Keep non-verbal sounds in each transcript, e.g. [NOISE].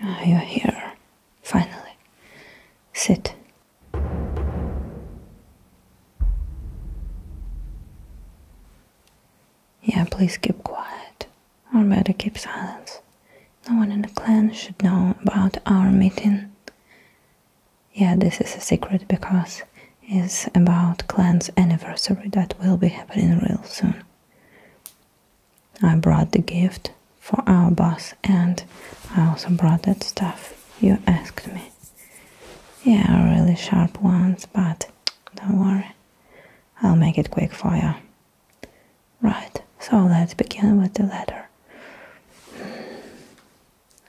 Ah, you're here, finally. Sit. Yeah, please keep quiet. Or better keep silence. No one in the clan should know about our meeting. Yeah, this is a secret because it's about clan's anniversary that will be happening real soon. I brought the gift for our boss and I also brought that stuff you asked me. Yeah, really sharp ones, but don't worry. I'll make it quick for you. Right, so let's begin with the letter.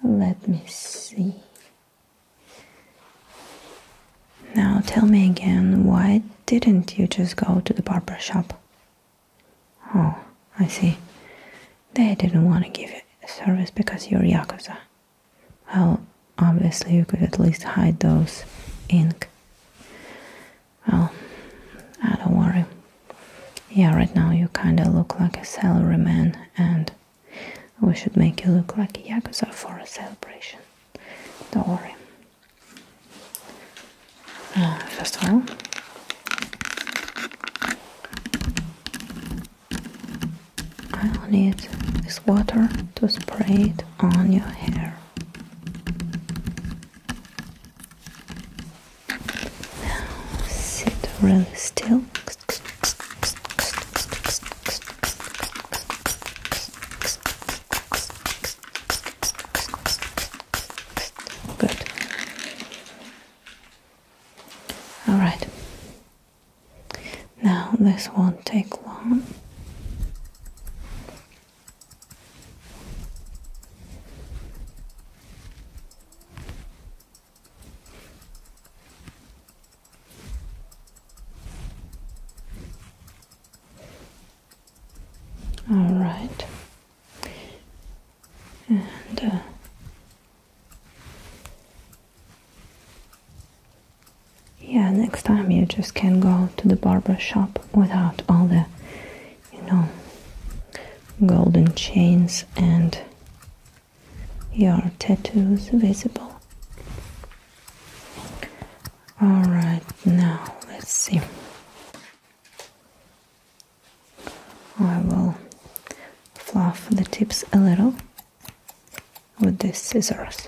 Let me see. Now tell me again, why didn't you just go to the barber shop? Oh, I see. They didn't want to give you service because you're Yakuza. Well, obviously you could at least hide those ink. Well, I don't worry. Yeah, right now you kinda look like a salaryman, and we should make you look like a yakuza for a celebration. Don't worry. Uh, first of all, I'll need this water to spray it on your hair. Now sit really still. Good. All right. Now this won't take long. All right, and uh, yeah, next time you just can not go to the barber shop without all the you know, golden chains and your tattoos visible. Alright, now let's see. I will fluff the tips a little with the scissors.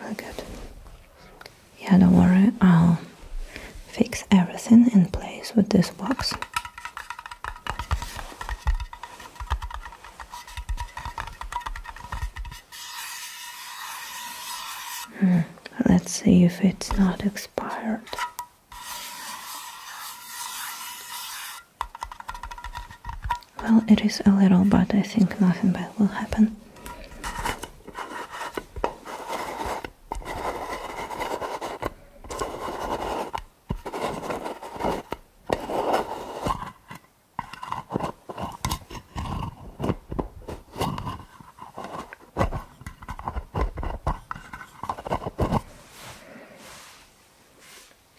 Well, good. Yeah, don't worry, I'll fix everything in place with this box. Hmm, let's see if it's not expired. Well, it is a little, but I think nothing bad will happen.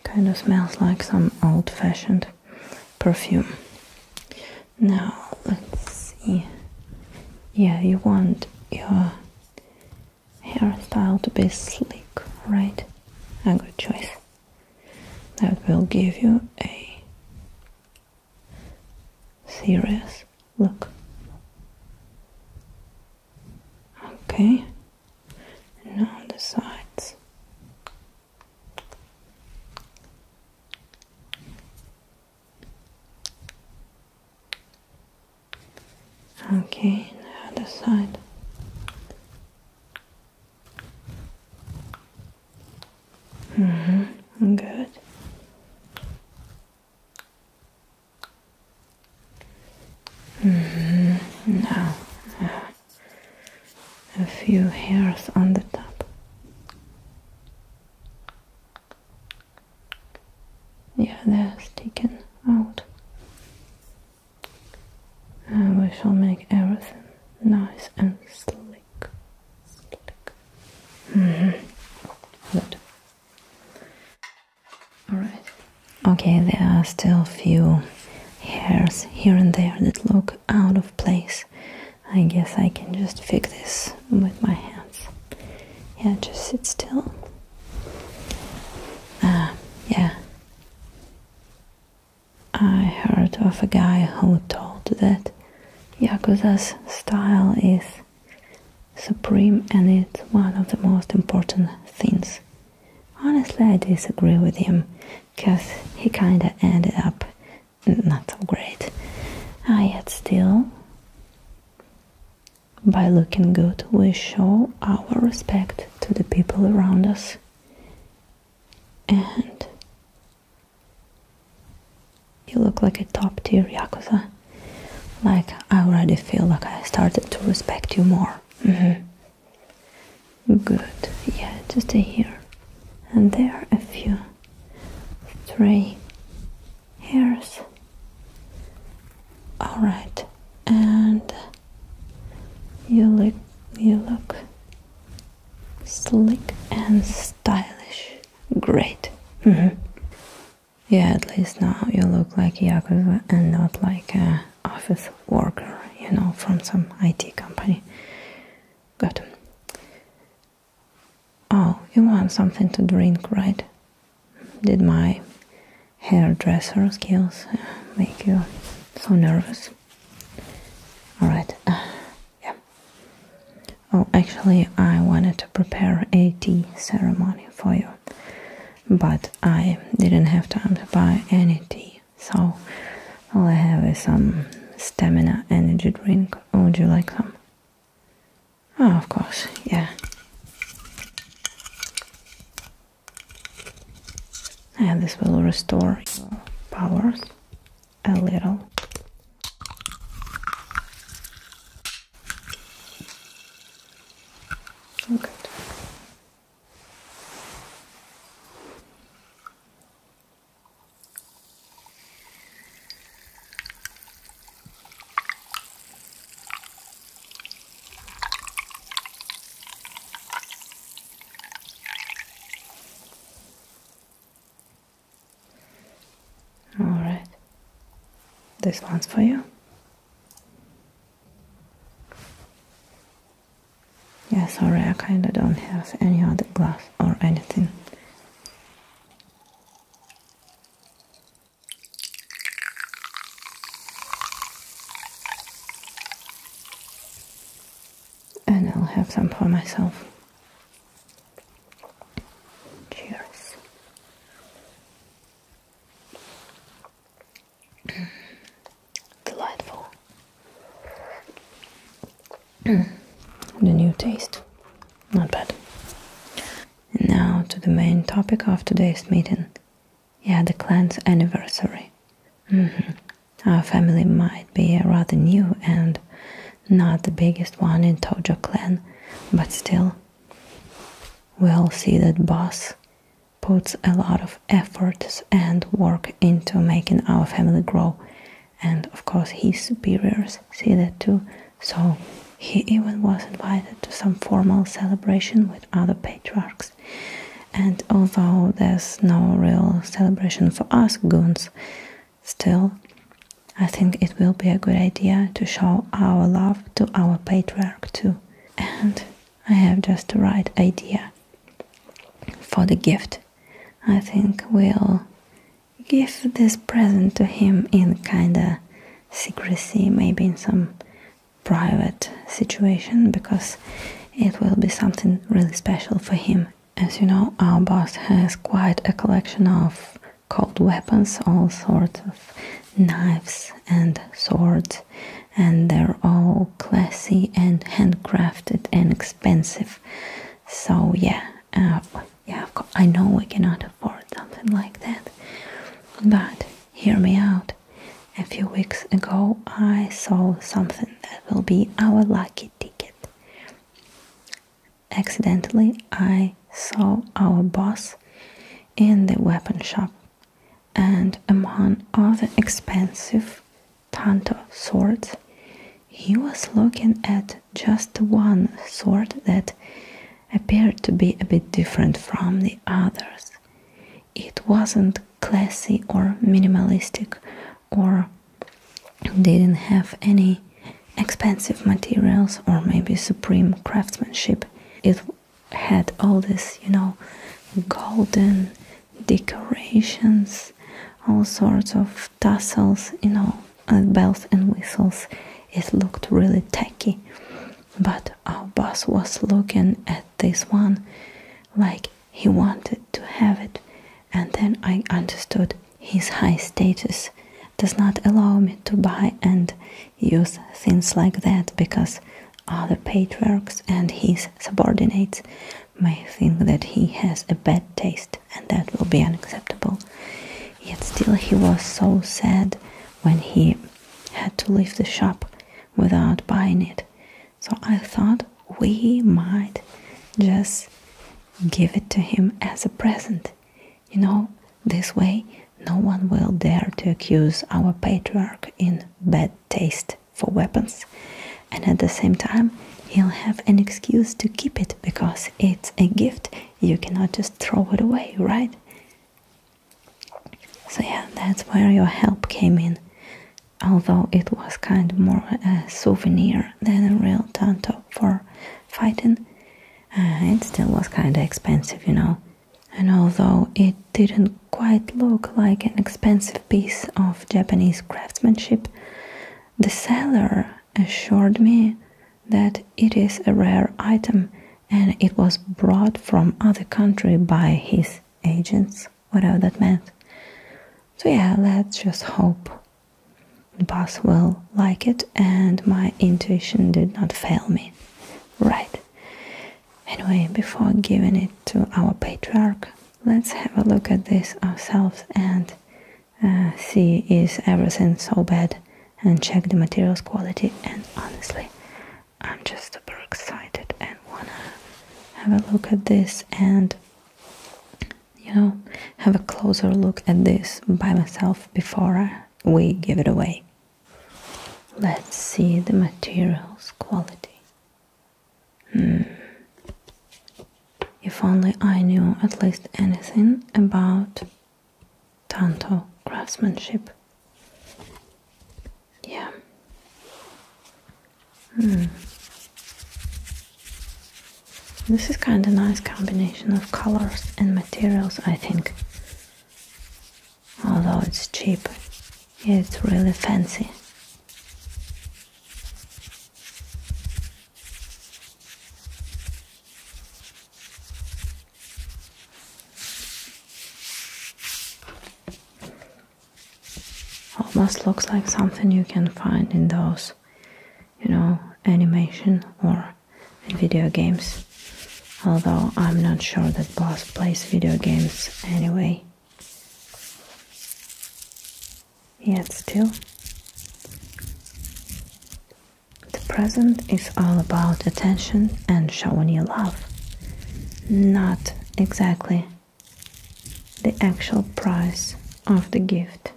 Kind of smells like some old fashioned perfume. Now let's see. Yeah, you want your hairstyle to be slick, right? A good choice. That will give you a serious look. Okay. Now the sides. Okay, now the other side. Mm hmm good. Mm hmm now a few hairs on the top. Yeah, they're sticking out. And we shall make everything nice and slick. -hmm. Good. Alright. Okay, there are still a few hairs here and there that look out of place. I guess I can just fix this with my hands. Yeah, just sit still. Ah, yeah. I heard of a guy who told that Yakuza's style is supreme and it's one of the most important things. Honestly, I disagree with him, cause he kinda ended up not so great. yet still, by looking good, we show our respect to the people around us and you look like a top tier yakuza. Like, I already feel like I started to respect you more. Mm-hmm. Good. Yeah, just stay here. And there are a few stray hairs. All right. And you look you look slick and stylish. Great. Mm-hmm. Yeah, at least now you look like Yakuza and not like a office worker, you know, from some IT company. Good. Oh, you want something to drink, right? Did my hairdresser skills uh, make you so nervous? Alright, uh, yeah. Oh, actually, I wanted to prepare a tea ceremony for you, but I didn't have time to buy any tea, so all I have is some stamina energy drink. Oh, would you like some? Oh, of course, yeah. And this will restore your powers a little. Good. All right, this one's for you. Yeah, sorry, I kinda don't have any other glass or anything. And I'll have some for myself. Cheers. [CLEARS THROAT] Delightful. [CLEARS THROAT] the new taste. Not bad. And now to the main topic of today's meeting. Yeah, the clan's anniversary. Mm-hmm. Our family might be rather new and not the biggest one in Tojo clan, but still, we all see that boss puts a lot of efforts and work into making our family grow and of course his superiors see that too. So he even was invited to some formal celebration with other patriarchs. And although there's no real celebration for us goons, still, I think it will be a good idea to show our love to our patriarch too. And I have just the right idea for the gift. I think we'll give this present to him in kinda secrecy, maybe in some private situation, because it will be something really special for him. As you know, our boss has quite a collection of cold weapons, all sorts of knives and swords, and they're all classy and handcrafted and expensive. So yeah, uh, yeah, I know we cannot afford something like that, but hear me out. A few weeks ago, I saw something that will be our lucky ticket. Accidentally, I saw our boss in the weapon shop, and among other expensive tanto swords, he was looking at just one sword that appeared to be a bit different from the others. It wasn't classy or minimalistic or didn't have any expensive materials or maybe supreme craftsmanship. It had all this, you know, golden decorations, all sorts of tassels, you know, bells and whistles. It looked really tacky. But our boss was looking at this one like he wanted to have it. And then I understood his high status does not allow me to buy and use things like that because other patriarchs and his subordinates may think that he has a bad taste and that will be unacceptable. Yet still he was so sad when he had to leave the shop without buying it. So I thought we might just give it to him as a present. You know, this way no one will dare to accuse our patriarch in bad taste for weapons and at the same time you'll have an excuse to keep it because it's a gift you cannot just throw it away right so yeah that's where your help came in although it was kind of more a souvenir than a real tanto for fighting uh, it still was kind of expensive you know and although it didn't quite look like an expensive piece of japanese craftsmanship the seller assured me that it is a rare item and it was brought from other country by his agents, whatever that meant. So yeah, let's just hope the boss will like it and my intuition did not fail me. Right. Anyway, before giving it to our patriarch, let's have a look at this ourselves and uh, see is everything so bad and check the materials quality and honestly I'm just super excited and wanna have a look at this and you know have a closer look at this by myself before we give it away. Let's see the materials quality. Hmm. If only I knew at least anything about Tanto craftsmanship. Yeah. Hmm. This is kind of nice combination of colors and materials, I think. Although it's cheap, it's really fancy. Almost looks like something you can find in those, you know, animation or video games. Although I'm not sure that boss plays video games anyway. Yeah, it's still. The present is all about attention and showing your love, not exactly the actual price of the gift.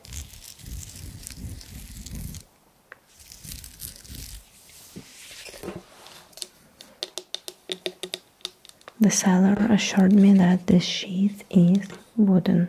The seller assured me that this sheath is wooden.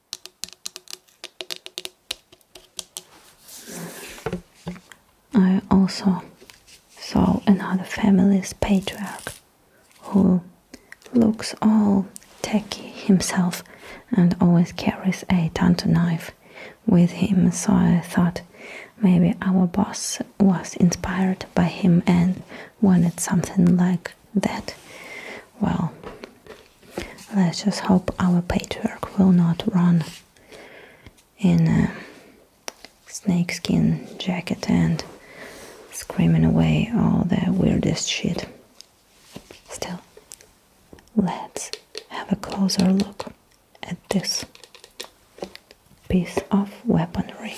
I also saw another family's patriarch who looks all techy himself and always carries a tanto knife with him, so I thought maybe our boss was inspired by him and wanted something like that. Well, let's just hope our patchwork will not run in a snakeskin jacket and screaming away all the weirdest shit. Still, let's have a closer look at this piece of weaponry.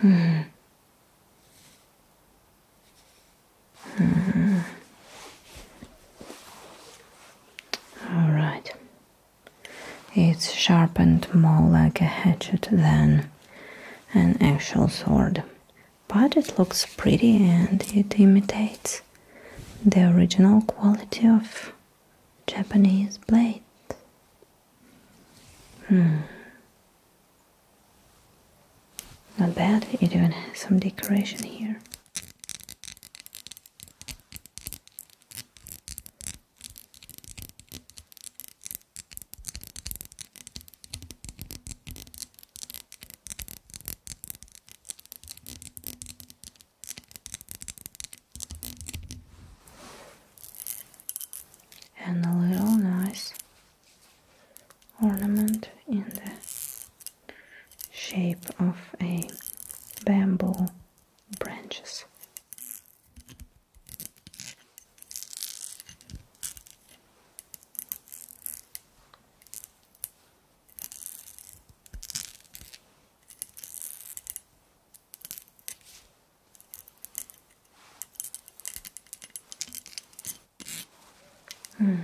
Hmm. Mm-hmm. All right. It's sharpened more like a hatchet than an actual sword, but it looks pretty and it imitates the original quality of Japanese blade. Hmm. Not bad, it even has some decoration here and a little nice ornament in the shape of a bamboo branches. -hmm.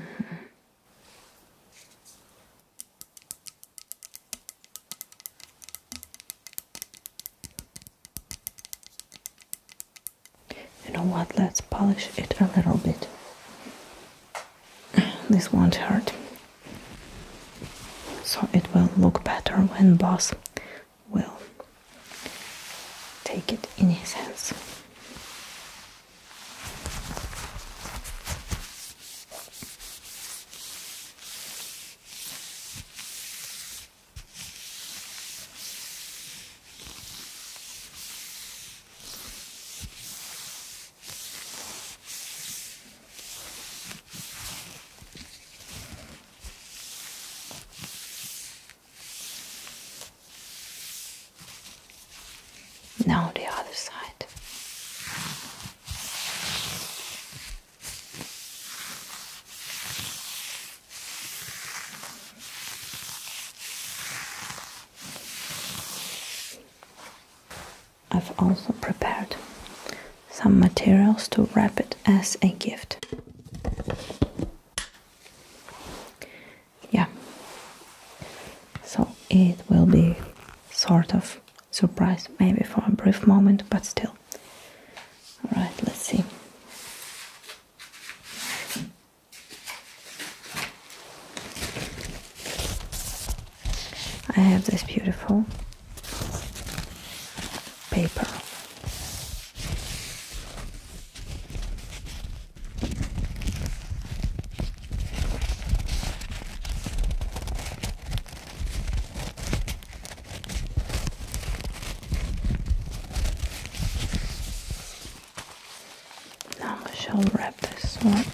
You know what? Let's polish it a little bit. [SIGHS] This won't hurt. So it will look better when boss will take it in his hands. Now the other side. I've also prepared some materials to wrap it as a gift yeah so it will be sort of surprise maybe for a brief moment but still all right let's see I have this beautiful paper. Now I shall wrap this one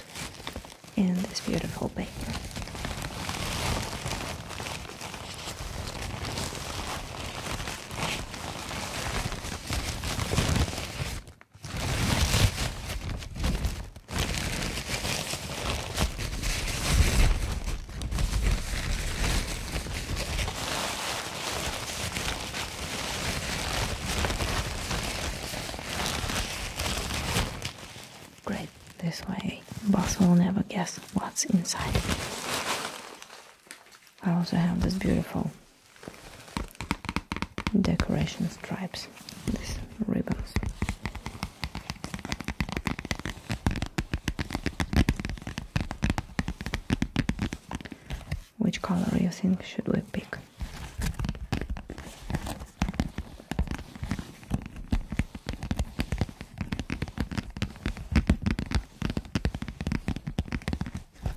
in this beautiful paper. Great, this way, boss will never guess what's inside. I also have these beautiful decoration stripes, these ribbons. Which color do you think should we pick?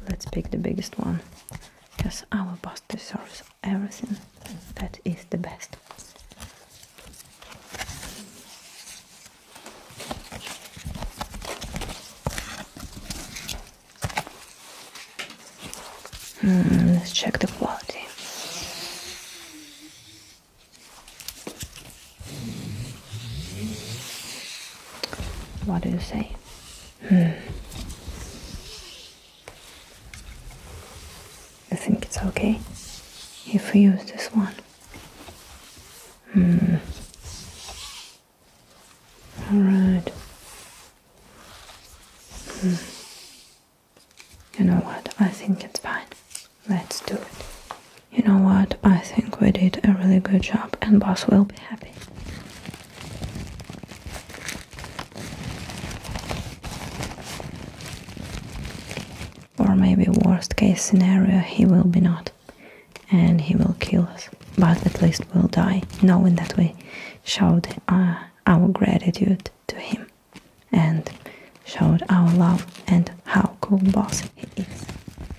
Let's pick the biggest one because our boss deserves everything that is the best. Hmm, let's check the quality. What do you say? I hmm. think it's okay if we use this one. Hmm. Alright. Hmm. You know what? I think it's fine. Let's do it. You know what? I think we did a really good job and boss will be happy. Or maybe worst case scenario, he will be not. And he will kill us. But at least we'll die, knowing that we showed uh, our gratitude to him. And showed our love and how cool boss he is.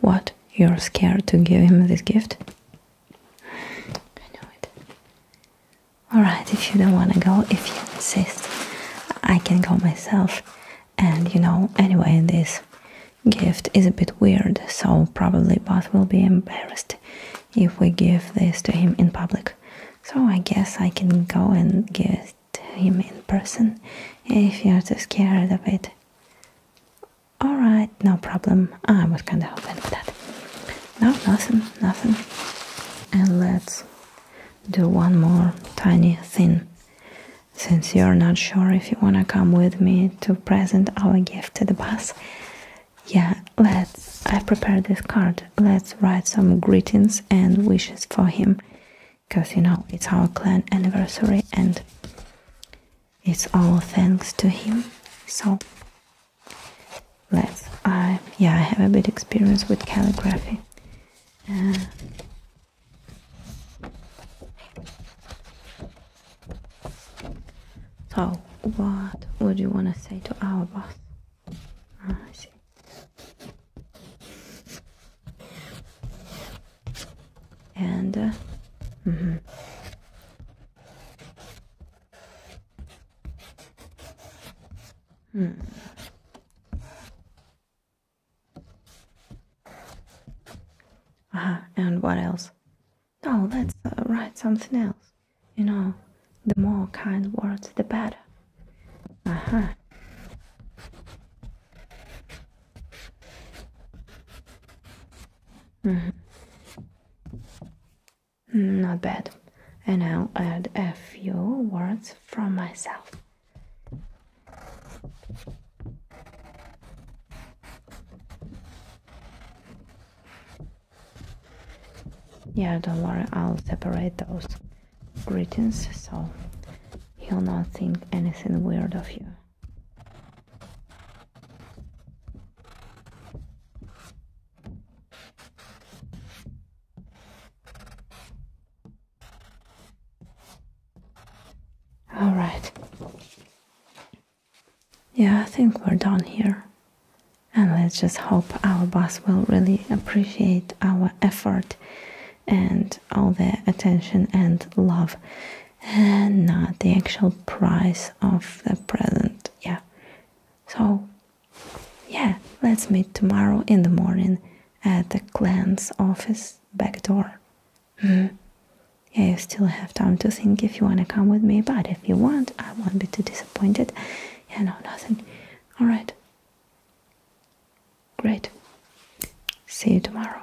What? You're scared to give him this gift? I know it. Alright, if you don't want to go, if you insist, I can go myself. And you know, anyway, this gift is a bit weird, so probably both will be embarrassed if we give this to him in public. So I guess I can go and give it to him in person if you're too scared of it. Alright, no problem. I was kinda hoping for that. No, nothing, nothing. And let's do one more tiny thing. Since you're not sure if you wanna come with me to present our gift to the boss. yeah, let's. I prepared this card. Let's write some greetings and wishes for him. Because you know, it's our clan anniversary and it's all thanks to him. So, let's. I, yeah, I have a bit experience with calligraphy so, what would you want to say to our boss? Ah, I see. And, uh, mm Hmm. Uh -huh. And what else? Oh, let's uh, write something else. You know, the more kind words, the better. Uh -huh. Mm-hmm. Mm, not bad and I'll add a few words from myself. Yeah, don't worry, I'll separate those greetings so he'll not think anything weird of you. All right. Yeah, I think we're done here. And let's just hope our boss will really appreciate our effort and all the attention and love and not the actual price of the present. Yeah. So yeah, let's meet tomorrow in the morning at the clan's office back door. Mm. Yeah, you still have time to think if you want to come with me, but if you want, I won't be too disappointed. Yeah, no, nothing. Alright. Great. See you tomorrow.